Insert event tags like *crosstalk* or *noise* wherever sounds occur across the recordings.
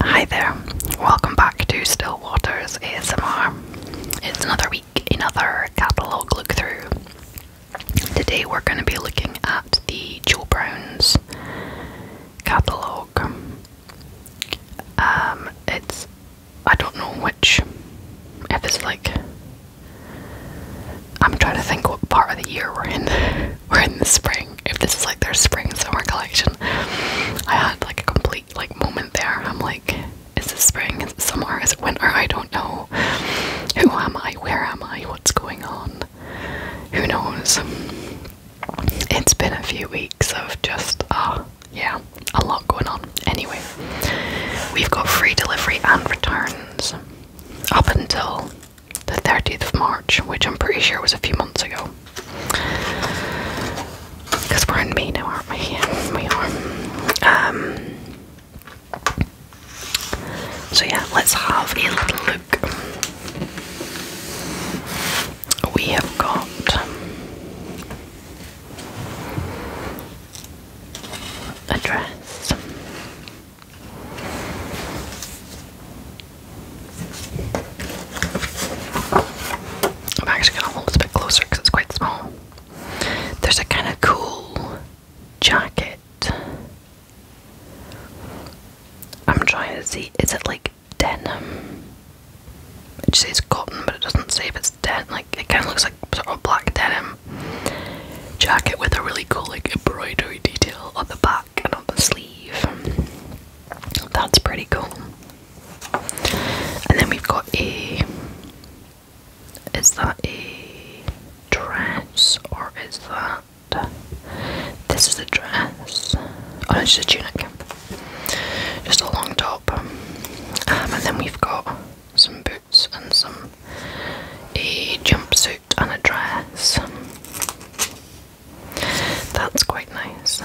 Hi there, welcome back to Stillwater's ASMR. It's another week, another catalogue look through. Today we're going to be looking at the Joe Brown's catalogue. Um, it's, I don't know which, if it's like, I'm trying to think what part of the year we're in. *laughs* we're in the spring if this is like their spring summer collection. I had like a complete like moment there. I'm like, is it spring? Is it summer? Is it winter? I don't know. Who am I? Where am I? What's going on? Who knows? It's been a few weeks of just uh yeah, a lot going on. Anyway, we've got free delivery and returns up until the 30th of March, which I'm pretty sure was a few months ago. Because we're in May now, aren't we? we are. Um, so, yeah, let's have a little look. We have got. A dress. I'm actually gonna hold it a bit closer because it's quite small. There's a kind of cool jacket. I'm trying to see, is it like denim? It says cotton, but it doesn't say if it's denim. Like it kind of looks like sort of black denim jacket with a really cool like embroidery detail on the back and on the sleeve. That's pretty cool. And then we've got a. Is that a dress or is that. This is a dress. Oh, no, it's just a tunic. Just a long top. Um, and then we've got some boots and some. a jumpsuit and a dress. That's quite nice.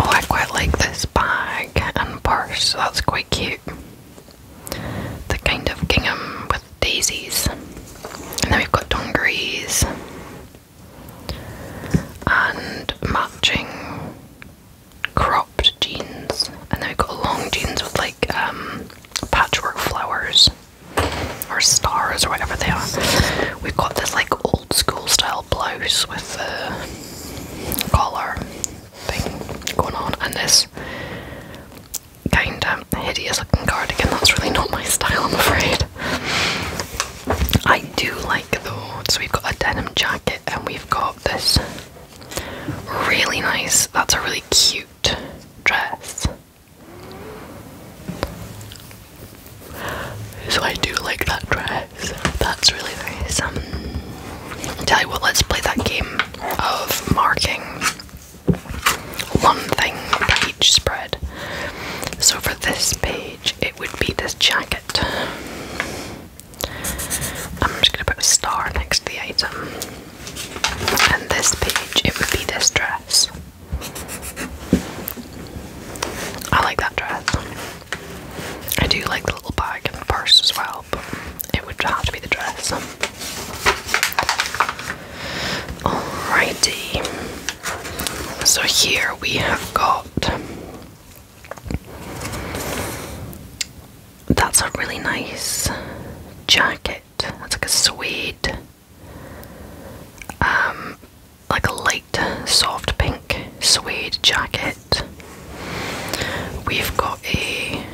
Oh, I quite like this bag and purse, that's quite cute. The kind of gingham with daisies. And then we've got dungarees and matching cropped jeans. And then we got long jeans with like um, patchwork flowers or stars or whatever they are. We've got this like old school style blouse with the collar thing going on, and this kind of hideous looking cardigan. That's really not my style, I'm afraid. I I do like though. So we've got a denim jacket and we've got this really nice, that's a really cute dress. So I do like that dress. That's really nice. Um, tell you what, let's play that game of marking one thing for each spread. So for this page, it would be this jacket. I'm just going to put a star next to the item. And this page, it would be this dress. I like that dress. I do like the little bag and the purse as well, but it would have to be the dress. Alrighty. So here we have got that's a really nice jacket. That's like a suede, um, like a light, soft pink suede jacket. We've got a.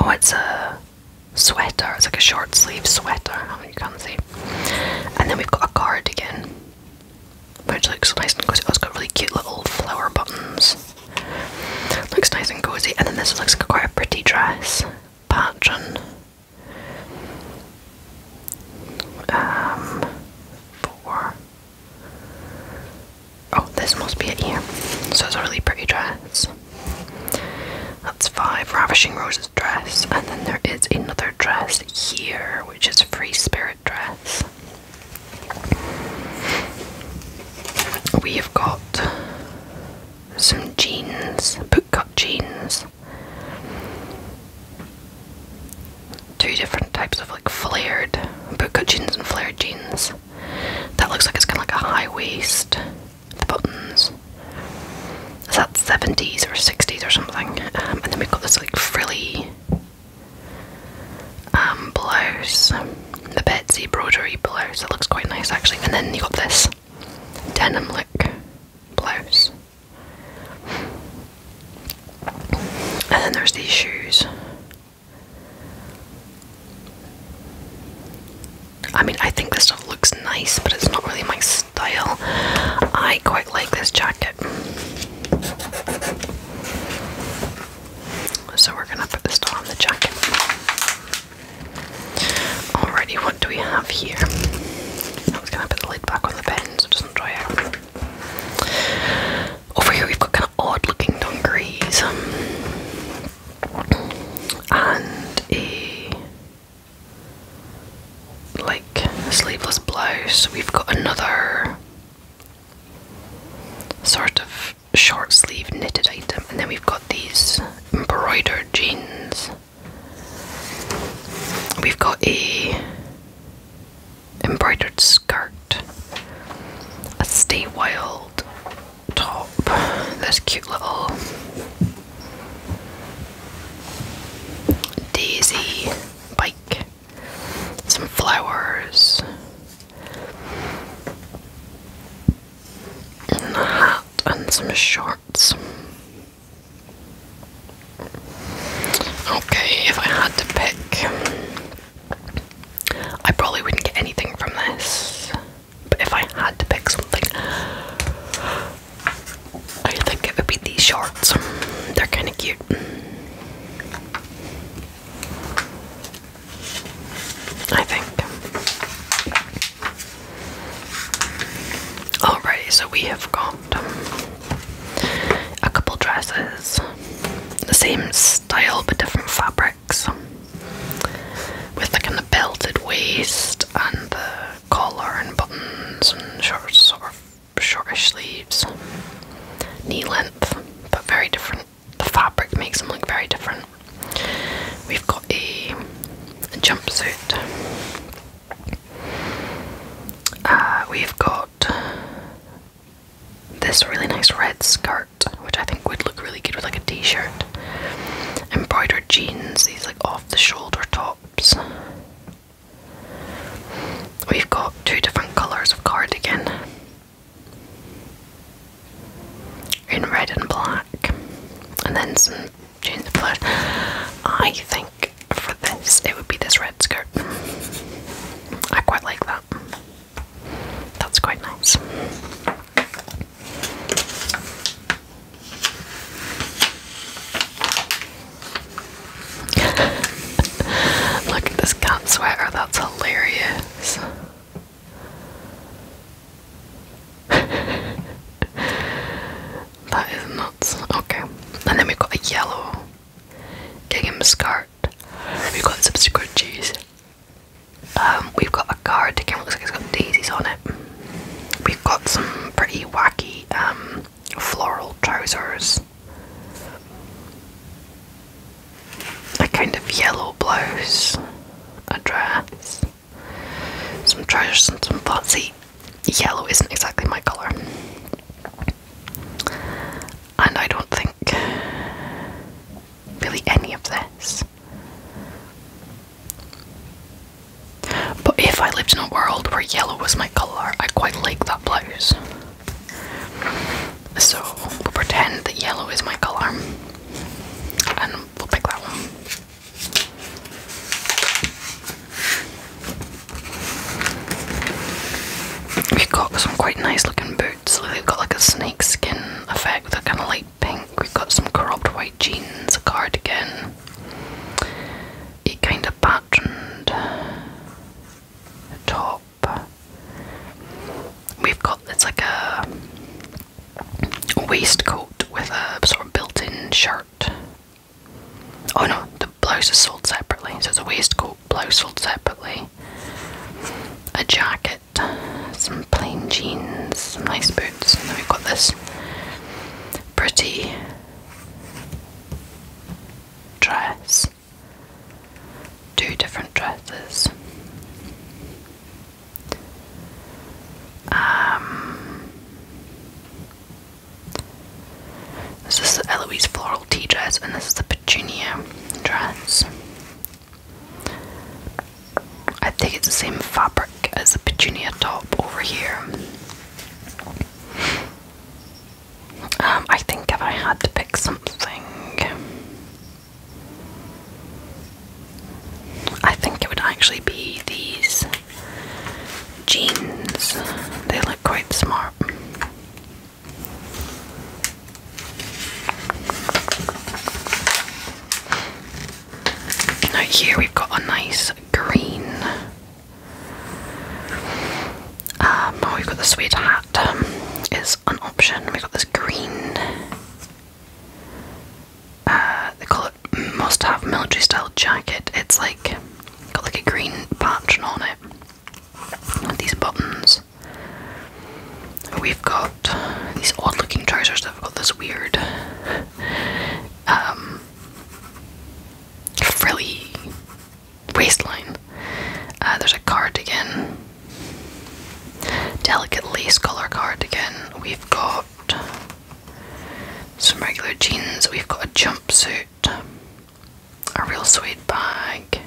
Oh, it's a sweater. It's like a short sleeve sweater. Oh, you can't see. And then we've got a cardigan which looks nice and cozy. Oh, it's got really cute little flower buttons. Looks nice and cozy. And then this looks like quite a pretty dress Patron. Um, four. Oh, this must be it here. So it's a really pretty dress. That's five. Ravishing Roses dress. And then there is another dress here, which is Free Spirit Dress. We have got some jeans, bootcut jeans. Two different types of like flared bootcut jeans and flared jeans. That looks like it's kind of like a high waist. The buttons is that 70s or 60s or something um, and then we've got this like frilly um, blouse the Betsy broderie blouse it looks quite nice actually and then you got this denim look blouse and then there's these shoes I mean I think this stuff looks nice but it's not really my style style. I quite like this jacket. So we're gonna put this on the jacket. Alrighty, what do we have here? I was gonna put the lid back on the pen so it doesn't Over here we've got kind of odd looking dungarees um, and a like sleeveless blouse. We've got another sort of short sleeve knitted item, and then we've got these embroidered jeans. We've got a embroidered skirt, a Stay Wild top, this cute little daisy bike, some flowers, and a hat, and some shorts. Okay, if I had to pick, I probably wouldn't get anything from this. But if I had to pick something, I think it would be these shorts. They're kind of cute. I think. Alrighty, so we have got um, a couple dresses. The same style but different fabrics. With like a of belted waist and the collar and buttons and shorts sort of Shorter sleeves, knee length, but very different. The fabric makes them look very different. We've got a, jumpsuit. Uh, we've got this really nice red skirt, which I think would look really good with like a t-shirt. Embroidered jeans, these like off the shoulder tops. We've got two different colours of cardigan in red and black, and then some jeans. But I think for this, it would be this red skirt. I quite like that. That's quite nice. *laughs* Look at this cat sweater, that's hilarious. *laughs* that is nuts. Okay. And then we've got a yellow gingham skirt. We've got some scrunchies. Um, we've got a cardigan, looks like it's got daisies on it. We've got some pretty wacky um floral trousers, a kind of yellow blouse, a dress, some trousers, and some fuzzy. Yellow isn't exactly my colour. And I don't think really any of this but if I lived in a world where yellow was my colour, I quite like that blouse. So we'll pretend that yellow is my colour and we'll pick that one. We've got some quite nice looking boots, they've got like a snake skin effect, they're kind of light pink. We've got some cropped white jeans, a cardigan, it kind of patterned top. We've got it's like a waistcoat with a sort of built-in shirt. Oh no, the blouse is sold separately. So it's a waistcoat, blouse sold separately. A jacket, some plain jeans, some nice boots, and then we've got this pretty dress, two different dresses. Um, this is the Eloise floral tea dress, and this is the petunia dress. I think it's the same fabric as the petunia top over here. Um, I think if I had to pick something, I think it would actually be these jeans. They look quite smart. Now, here we've got a nice green um, oh, we've got the sweet hat, um, is an option. We've got this green, uh, they call it must have military style jacket. It's like, got like a green pattern on it these buttons. We've got these odd looking trousers that have got this weird, um, frilly waistline. Uh, there's a cardigan, delicate lace collar cardigan. We've got some regular jeans. We've got a jumpsuit, a real suede bag.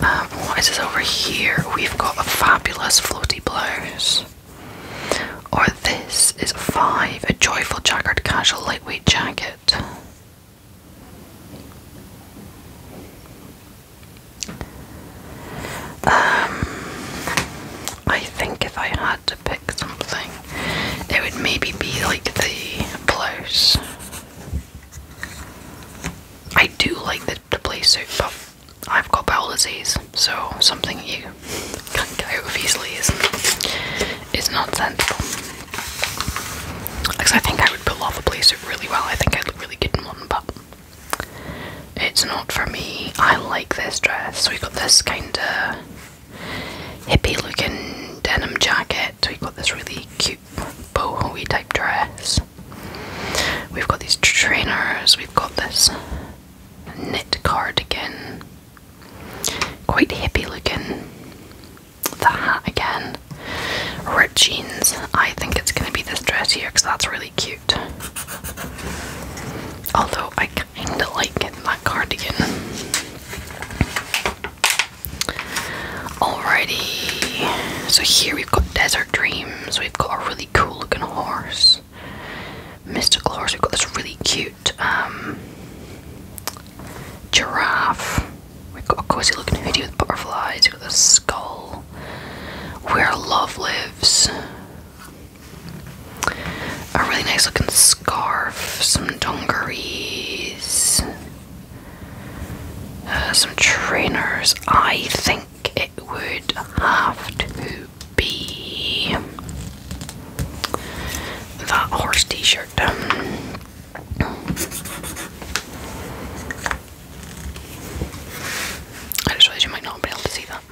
Um, what is this over here? We've got a fabulous floaty blouse. Or this is five, a joyful checkered casual lightweight jacket. Um, I think if I had to pick something, it would maybe be like the blouse. I do like the, the play but I've got bowel disease, so something you can't get is not sensible. Because I think I would pull off a playsuit really well. I think I'd look really good in one, but it's not for me. I like this dress. So we've got this kind of hippie looking denim jacket. So we've got this really cute boho type dress. We've got these trainers. We've got this knit cardigan. Quite hippie looking. The hat again. Red jeans. I think it's going to be this dress here because that's really cute. Although I kind of like that cardigan. Alrighty. So here we've got Desert Dreams. We've got a really cool looking horse. Mystical horse. We've got this really cute um, giraffe. We've got a cozy looking hoodie with butterflies. We've got a skull. Where love lives. A really nice looking scarf. Some dungarees. Uh, some trainers. I think it would have to be that horse t-shirt. I just realized you might not be able to see that.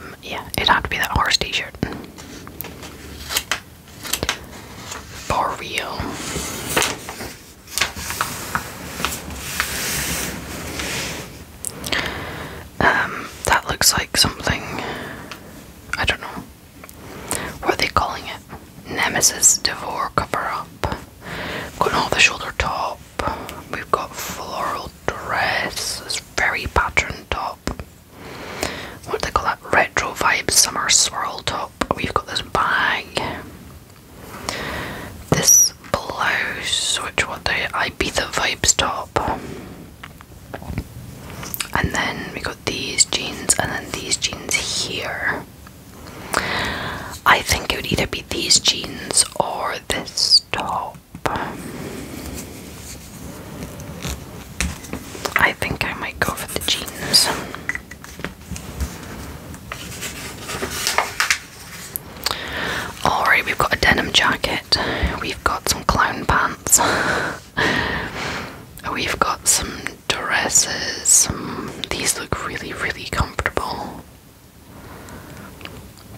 Um, yeah, it'd to be that horse t-shirt. For real. Um, that looks like something. I don't know. What are they calling it? Nemesis Devore cover up. Got an off the shoulder top. We've got floral dress. This very patterned top. What do they call that? Retro vibe summer swirl top. We've got this bag. This blouse, which what the vibes top and then we got these jeans and then these jeans here I think it would either be these jeans or this top I think I might go for the jeans Alright, we've got a denim jacket, we've got some clown pants We've got some dresses. these look really, really comfortable.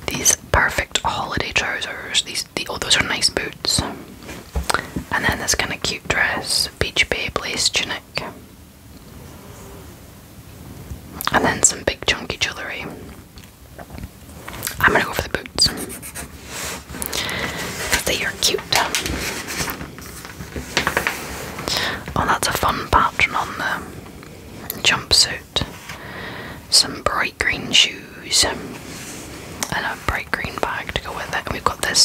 These perfect holiday trousers. These, the, oh, those are nice boots. And then this kind of cute dress, Beach babe lace tunic. And then some big chunky jewellery. I'm gonna go for the boots. Cause they are cute. Oh, that's a fun pattern on the jumpsuit. Some bright green shoes and a bright green bag to go with it. And we've got this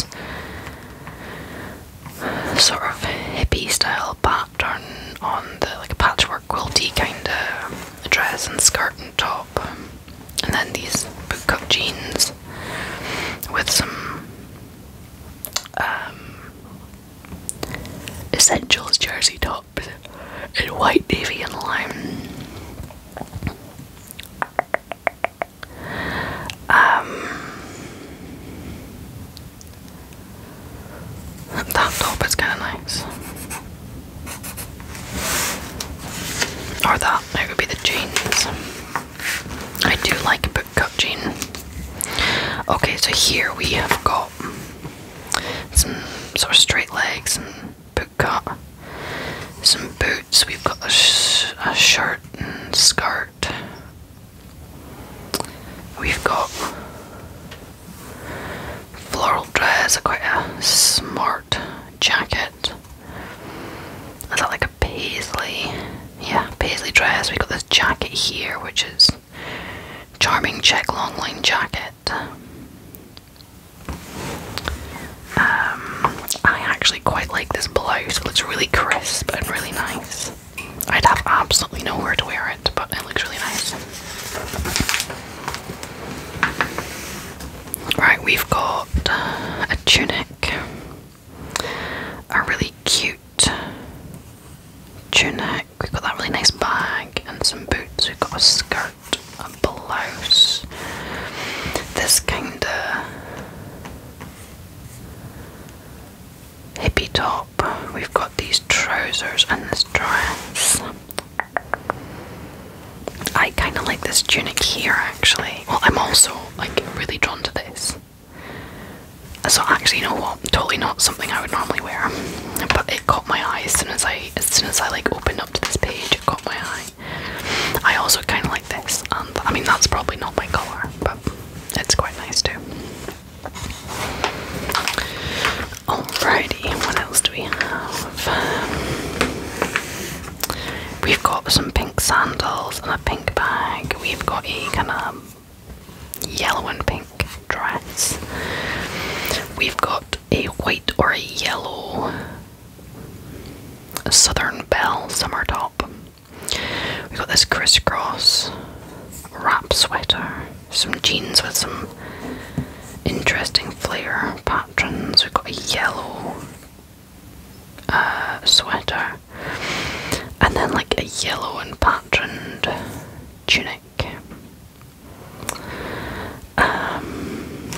sort of hippie style pattern on the like a patchwork quilty kind of dress and skirt and top and then these boot cut jeans with some um, essentials jersey tops in white, navy, and lime. Um, that top is kind of nice. Or that, it would be the jeans. Um, I do like a book Okay, so here we have got some sort of straight legs and boot some boots. We've got a, shirt and skirt. We've got floral dress, quite a smart jacket. Is that like a paisley? Yeah, paisley dress. We got this jacket here, which is charming check long line jacket. Um, I actually quite like this blouse. It looks really crisp and really nice. I'd have absolutely nowhere to wear it, but it looks really nice. Right, we've got uh, a tunic, a really cute tunic. We've got that really nice bag and some boots. We've got a skirt, a blouse. This kind of hippie top. We've got these trousers and this dress. I kind of like this tunic here actually. Well, I'm also like really drawn to this. So actually, you know what? Totally not something I would normally wear, but it caught my eye as soon as I as soon as I like opened up to this page. It caught my eye. I also kind of like this, and I mean that's probably not my color, but it's quite nice too. Alrighty, what else do we have? Um, we've got some pink sandals and a pink bag. We've got a kind of yellow and pink dress. We've got a white or a yellow Southern Belle summer top. We've got this crisscross wrap sweater, some jeans with some interesting flair patterns. We've got a yellow uh, sweater and then like a yellow and patterned tunic. Um,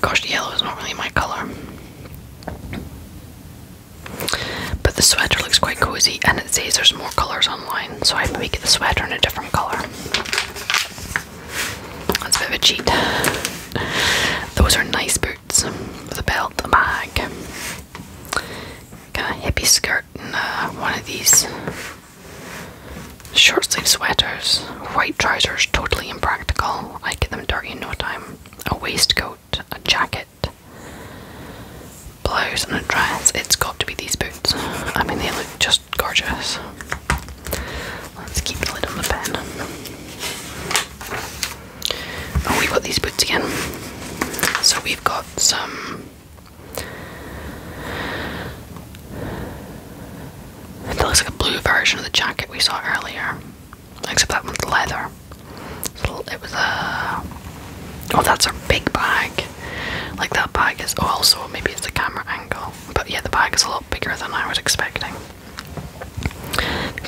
gosh, yellow is not really my colour. But the sweater looks quite cozy and it says there's more colours online, so I get the sweater in a different colour. That's a bit of a cheat. Those are nice boots with a belt, a bag, kind of hippie skirt, and uh, one of these short sleeve sweaters. White trousers, totally impractical. I get them dirty in no time. A waistcoat, a jacket, it blows and it dries, it's got to be these boots. I mean, they look just gorgeous. Let's keep the lid on the pen. Oh, we've got these boots again. So we've got some. That looks like a blue version of the jacket we saw earlier, except that one's leather. It was a. Uh, oh, that's a big bag. Like that bag is. Oh, also maybe it's a camera angle. But yeah, the bag is a lot bigger than I was expecting.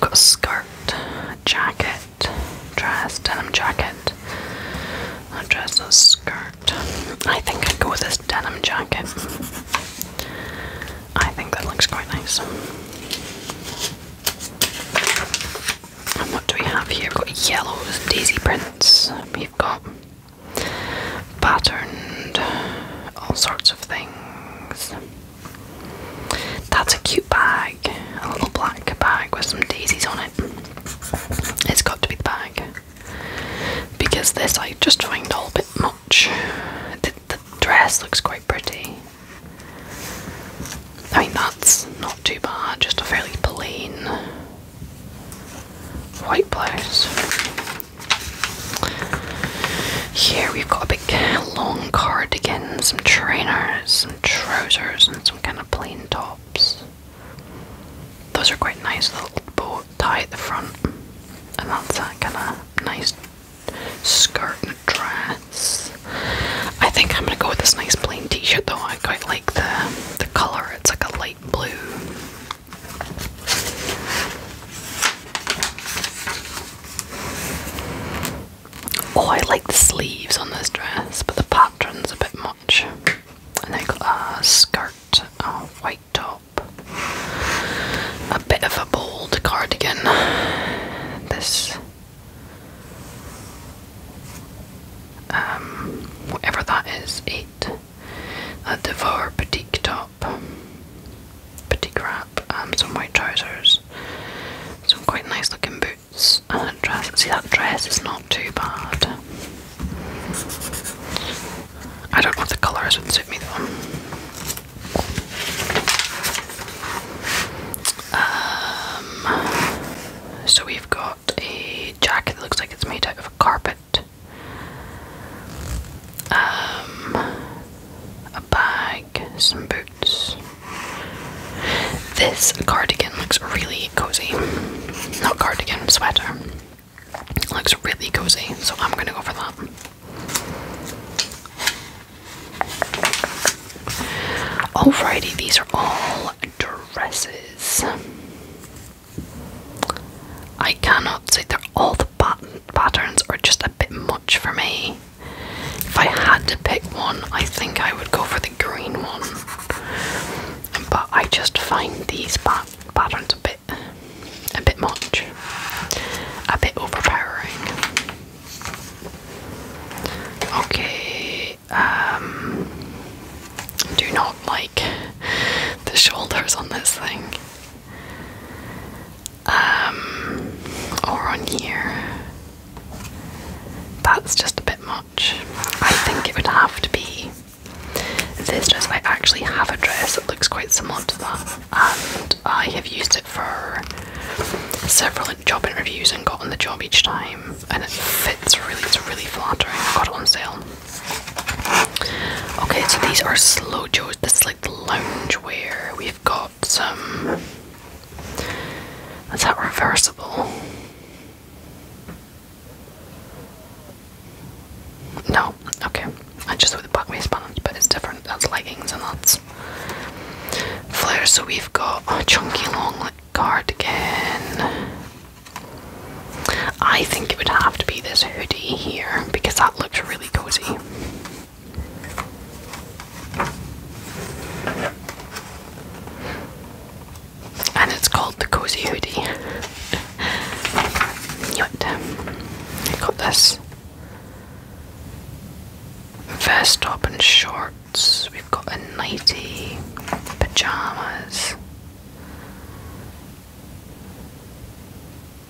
got a skirt, a jacket, dress, denim jacket, a dress, a skirt. I think I'd go with this denim jacket. I think that looks quite nice. And what do we have here? We've got yellows, and daisy prints, we've got patterned, all sorts of things. That's a cute bag, a little black bag with some daisies on it. It's got to be the bag. Because this I just find a little bit much. the dress looks quite pretty I mean, that's not too bad, just a fairly plain white blouse. Here we've got a big long cardigan, some trainers, some trousers, and some kind of plain tops. Those are quite nice, little bow tie at the front, and that's that kind of nice skirt and dress. I think I'm gonna go with this nice plain t-shirt though. I quite like the the color. It's like a light blue. Oh, I like the sleeves on this dress, but the pattern's a bit much. And I got a skirt, a white top, a bit of a bold cardigan. This um, whatever that is, eight. a devour petite top, petite wrap, um, some white trousers, some quite nice looking boots, and a dress. See, that dress is not too bad. I don't know if the colours would suit me though. Um, so we've got a jacket that looks like it's made out of a carpet, um, a bag, some boots. This cardigan looks really cozy. Not cardigan, sweater. looks really cozy, so I'm gonna go for that. Alrighty, these are all dresses. I cannot say that all the pattern patterns are just a bit much for me. If I had to pick one, I think I would go for the green one. But I just find these pa patterns a bit a bit much. A bit overpowering. Okay, um, do not like the shoulders on this thing. Um, or on here. That's just a bit much. I think it would have to be this dress. I actually have a dress that looks quite similar to that, and I have used it for several done job interviews and got on the job each time, and it fits really, it's really flattering. I got it on sale. Okay, so these are slow joes. This is like the lounge wear. We've got some. Is that reversible? No, okay. I just with the back waistband, but it's different. That's leggings and that's flares. So we've got chunky long cardigan. I think it would have to be this hoodie here because that looks really cozy. And it's called the Cozy Hoodie. *laughs* got this vest top and short we've got a nightie, pajamas,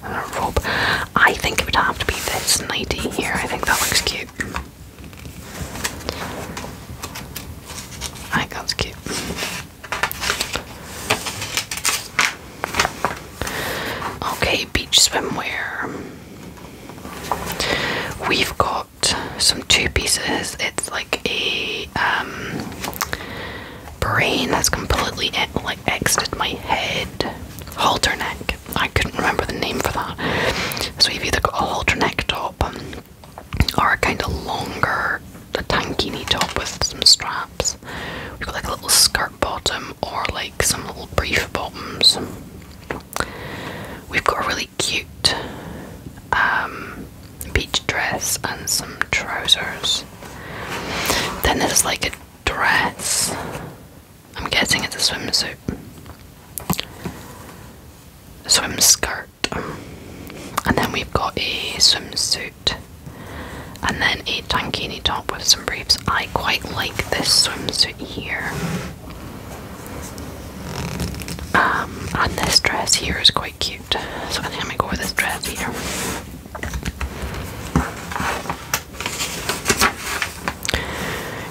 and a robe. I think it would have to be this nightie here, I think that looks cute. I think that's cute. Okay, beach swimwear. We've got some two pieces. It's like a um, brain that's completely like exited my head. Halter neck. I couldn't remember the name for that. So you've either got a halter neck top or a kind of longer, a tankini top with some straps. We've got like a little skirt bottom or like some little brief bottoms. We've got a really cute um, beach dress and some trousers. Then there's like a dress. I'm guessing it's a swimsuit. A swim skirt. And then we've got a swimsuit. And then a tankini top with some briefs. I quite like this swimsuit here. Um, and this dress here is quite cute, so I think I'm gonna go with this dress here.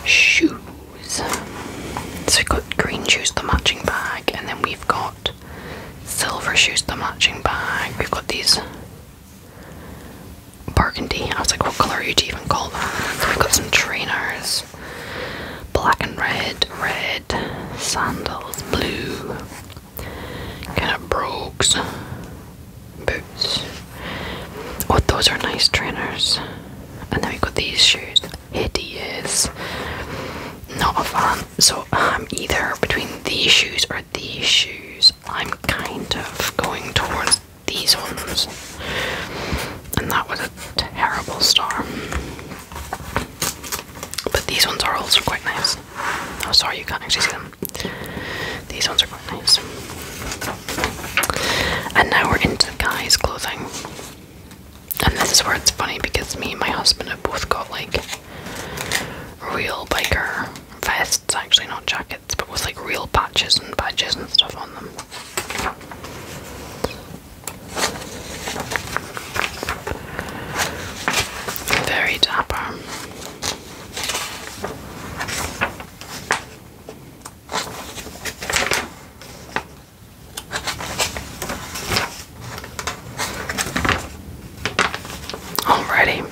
Shoes. So we've got green shoes, the matching bag, and then we've got silver shoes, the matching bag. We've got these burgundy. I was like, what colour are you even called? that? we've got some trainers. Black and red, red sandals, blue kind of brogues boots. Oh, those are nice trainers. And then we got these shoes. Hideous. Not a fan. So I'm um, either between these shoes or these shoes. I'm kind of going towards these ones. And that was a terrible star. But these ones are also quite nice. I'm oh, sorry, you can't actually see them. These ones are quite nice. And now we're into the guy's clothing. And this is where it's funny because me and my husband have both got like real biker vests, actually, not jackets, but with like real patches and badges and stuff on them. Very dapper. Alrighty.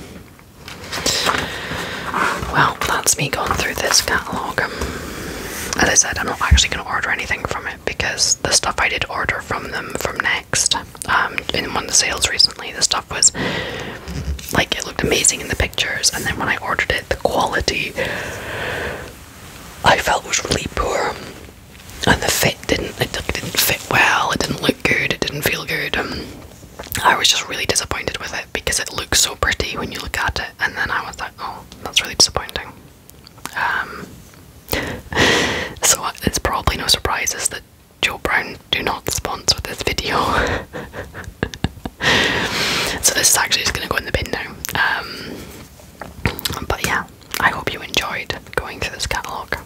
Well, that's me going through this catalogue. As I said, I'm not actually going to order anything from it because the stuff I did order from them from Next um, in one of the sales recently, the stuff was like it looked amazing in the pictures, and then when I ordered it, the quality I felt was really poor, and the fit didn't it didn't fit well. It didn't look good. It didn't feel good. Um, I was just really disappointed with it because it looked so pretty when you look at it, and then I was like, oh, that's really disappointing. Um, *laughs* so it's uh, probably no surprises that Joe Brown do not sponsor this video. *laughs* so this is actually just going to go in the bin now. Um, but yeah, I hope you enjoyed going through this catalogue.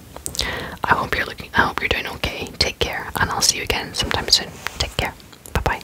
I hope you're looking. I hope you're doing okay. Take care, and I'll see you again sometime soon. Take care. Bye bye.